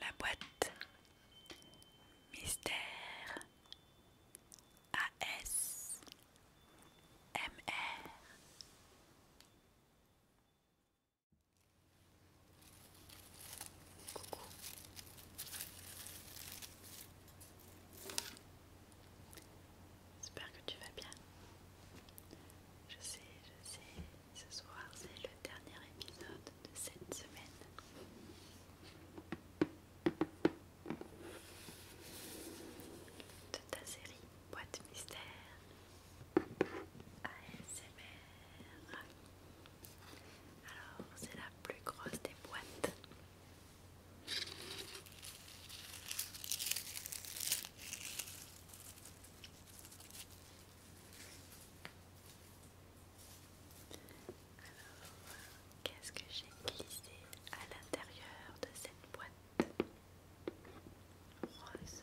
La boîte Mystère AS MR J'espère que tu vas bien. Je sais, je sais, ce soir c'est le dernier épisode de cette semaine. De ta série Boîte Mystère ASMR. Alors, c'est la plus grosse des boîtes qu'est-ce que j'ai glissé à l'intérieur de cette boîte rose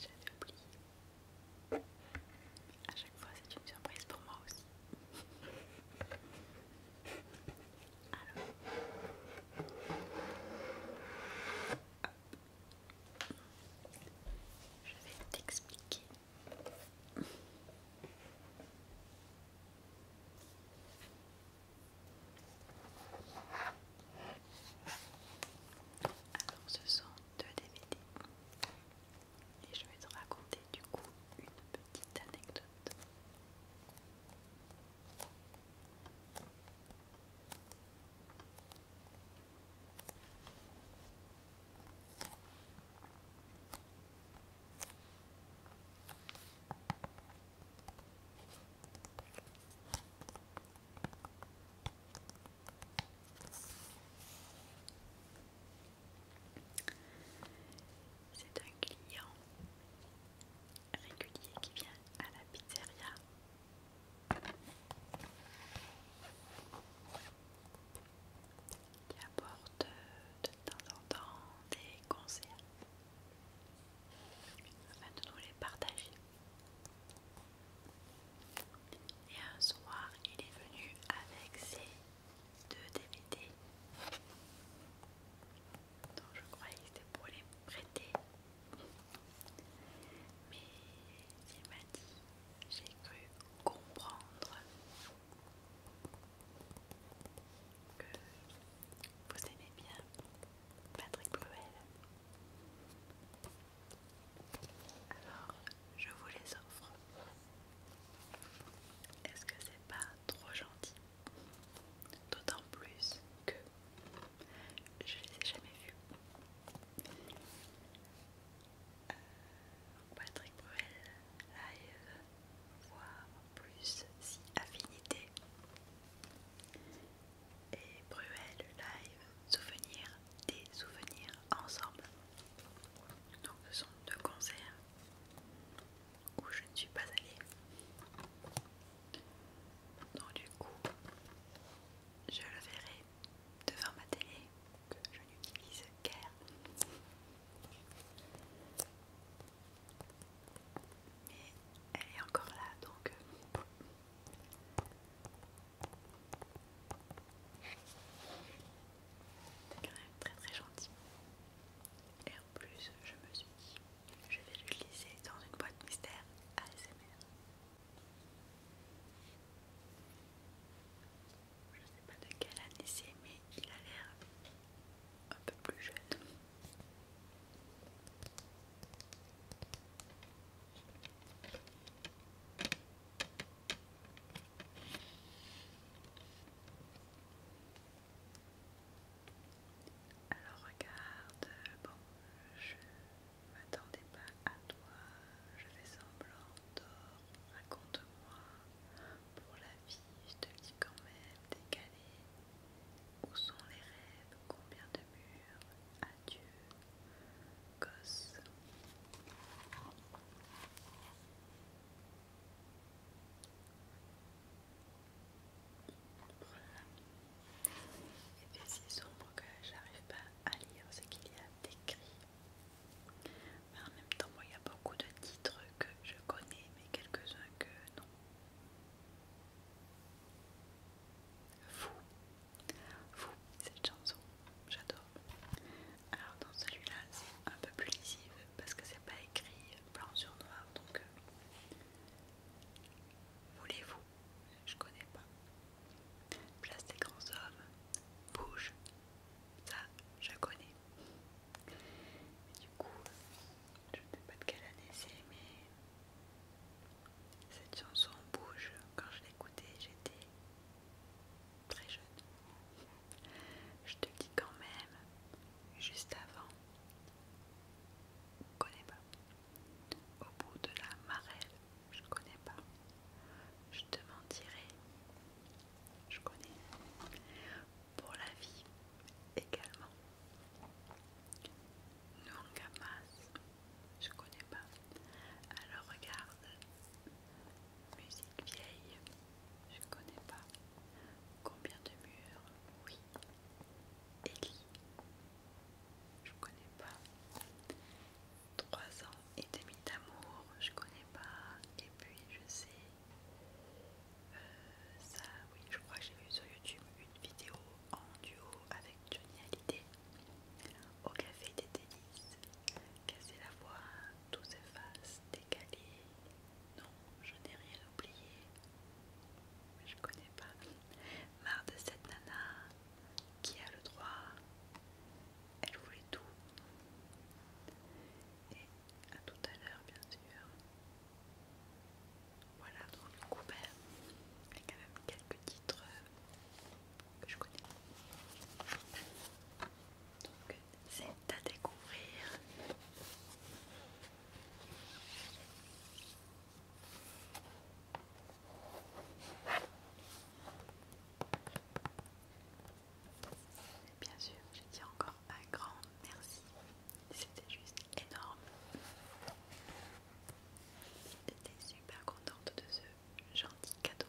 J'avais oublié. À chaque fois, c'est une surprise pour moi aussi. Je vais t'expliquer. Alors ce sont deux DVD et je vais te raconter du coup une petite anecdote. C'est un client régulier qui vient à la pizzeria qui apporte euh, de temps en temps des conseils afin de nous les partager. Et un soir, il est venu avec ses deux DVD dont je croyais que c'était pour les prêter mais il m'a dit, j'ai cru comprendre que vous aimez bien Patrick Bruel. Alors, je vous les offre. Est-ce que c'est pas trop gentil D'autant plus que je les ai jamais vus. Patrick Bruel live, voir plus si affinité. Et Bruel live, souvenir des souvenirs ensemble. Donc ce sont deux concerts où je ne suis pas allée. Donc du coup, je le verrai devant ma télé que je n'utilise guère. Mais elle est encore là donc. C'est euh, quand même très très gentil. Et en plus, je me suis dit, je vais l'utiliser dans une boîte mystère ASMR. Je ne sais pas de quelle année c'est, mais il a l'air un peu plus jeune. Alors regarde, bon, je M'attendez pas à toi, je fais semblant, d'or, raconte-moi. Pour la vie, je te dis quand même, décalé. Où sont les rêves, combien de murs Adieu, gosse. Il Et si sombre que j'arrive pas à lire ce qu'il y a d'écrit. Mais en même temps, il y a beaucoup de titres que je connais, mais quelques-uns que non. Fou, fou, cette chanson, j'adore. Alors dans celui-là, c'est un peu plus lisible parce que c'est pas écrit blanc sur noir, donc euh, voulez-vous je connais pas. Place des grands hommes, bouge, ça je connais. du coup, je ne sais pas de quelle année c'est, mais cette chanson bouge. Quand je l'écoutais, j'étais très jeune. Je te dis quand même, juste avant, je connais pas au bout de la marelle, je connais pas. Je te mentirai, je connais. Pour la vie également. gamas, je connais pas. Alors regarde, musique vieille, je connais pas. Combien de murs Oui. Qui je connais pas. 3 ans et demi d'amour, je connais pas. Et puis je sais, euh, ça, oui, je crois que j'ai vu sur YouTube une vidéo en duo avec Johnny Hallyday au café des tennis, Casser la voix, tout s'efface, décalé. Non, je n'ai rien oublié. Je connais pas. Marre de cette nana qui a le droit. Elle voulait tout. Et à tout à l'heure, bien sûr. Voilà, donc ben, il y a quand même quelques titres que je connais. Donc, c'est à découvrir. Bien sûr, je dis encore un grand merci. C'était juste énorme. J'étais super contente de ce gentil cadeau.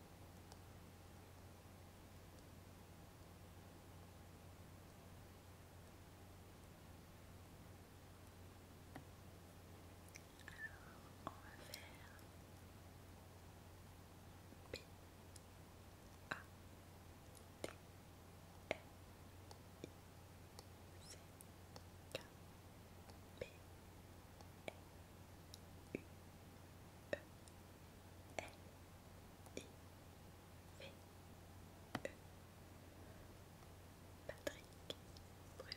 Alors, on va faire B A U E L I V E Patrick Bruel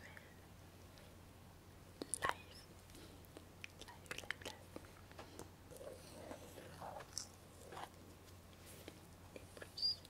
Live Live Live Live et plus si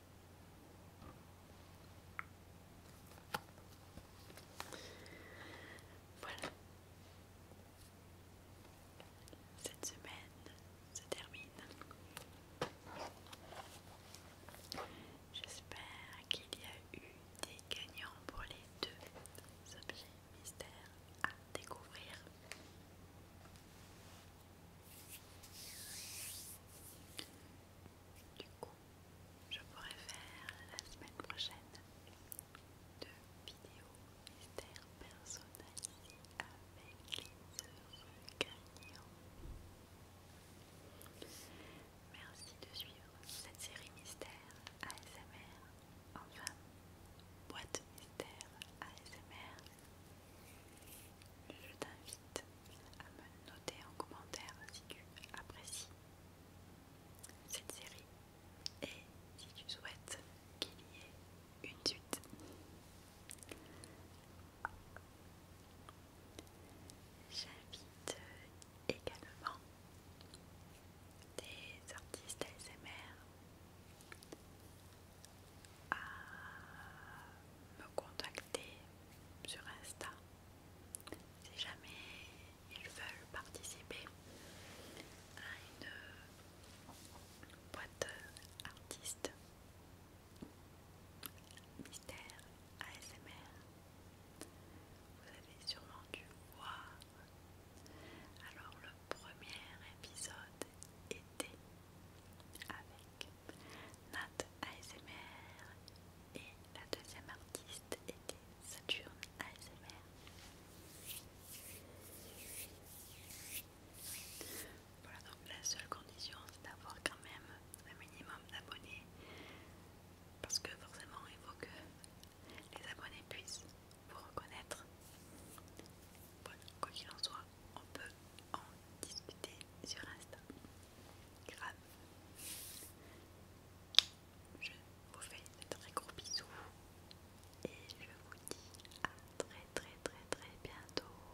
Voilà. Cette semaine se termine. J'espère qu'il y a eu des gagnants pour les deux objets mystères à découvrir. Du coup, je pourrais faire la semaine prochaine deux vidéos mystères personnalisées avec les heureux gagnants. Merci de suivre cette série mystère ASMR, enfin boîte mystère ASMR je t'invite à me noter en commentaire si tu apprécies cette série et si tu souhaites qu'il y ait une suite. J'invite également des artistes ASMR à me contacter sur Insta si jamais ils veulent participer à une boîte artiste mystère ASMR. Vous avez sûrement dû voir. Alors le premier épisode était avec Nat ASMR et la deuxième artiste était Saturne ASMR. Voilà donc la seule condition c'est d'avoir quand même un minimum d'abonnés parce que forcément il faut que les abonnés puissent vous reconnaître. quoi qu'il en soit, on peut en discuter sur Insta. Grave. Je vous fais un très gros bisous et je vous dis à très très très très bientôt.